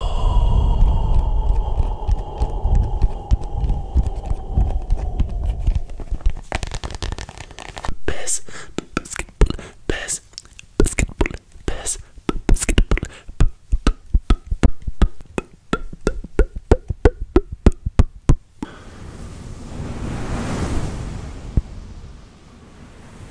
Best basketball, best basketball, best basketball.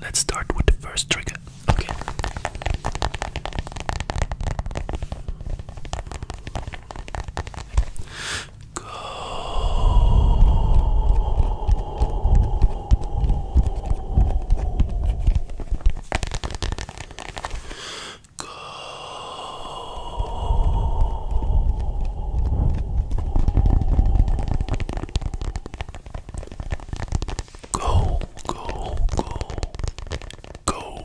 Let's start with the first trigger. Okay. Go. Go. Go, go, go, goal. Go.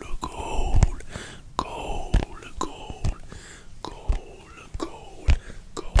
gold, gold, gold, gold, gold, gold, gold.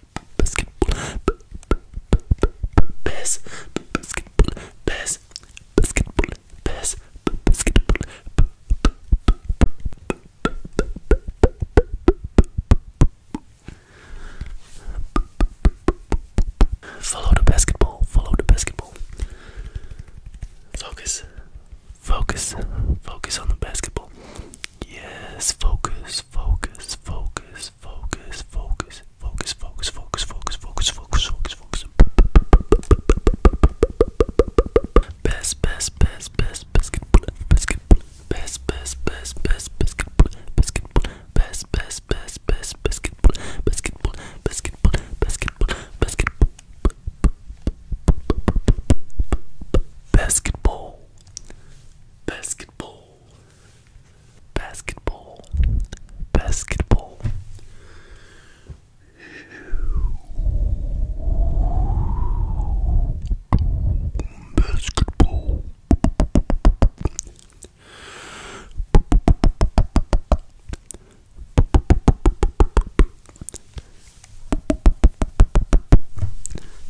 Follow the basketball, follow the basketball. Focus, focus, focus on the basketball. Yes, focus, focus, focus, focus, focus, focus, focus, focus, focus, focus, focus, focus, focus, focus. Best, best, best, best, biscuit bullet, biscuit Best, best, best, best, biscuit bullet, biscuit Best, best, best, best, biscuit Basketball. Basketball basketball, basketball. Basketball.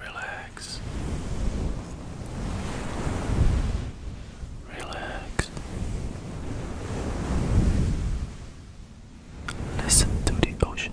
Relax. Relax. Listen to the ocean.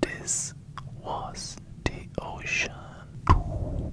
This was the ocean. Ooh,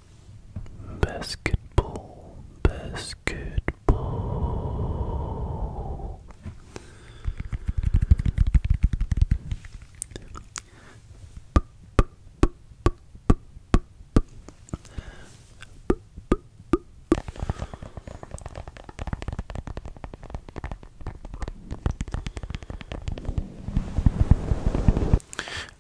Basketball, basketball.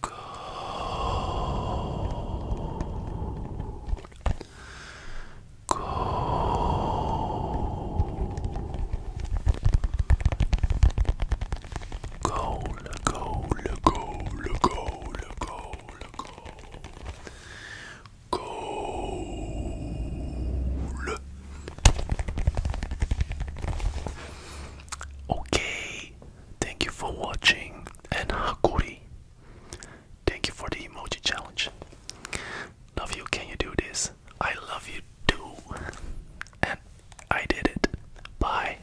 Gold. Gold. Gold, gold, gold, gold, gold, Okay, Thank you for watching and Hakuri. Thank you for the emoji challenge. Love you, can you do this? I love you too. And I did it. Bye.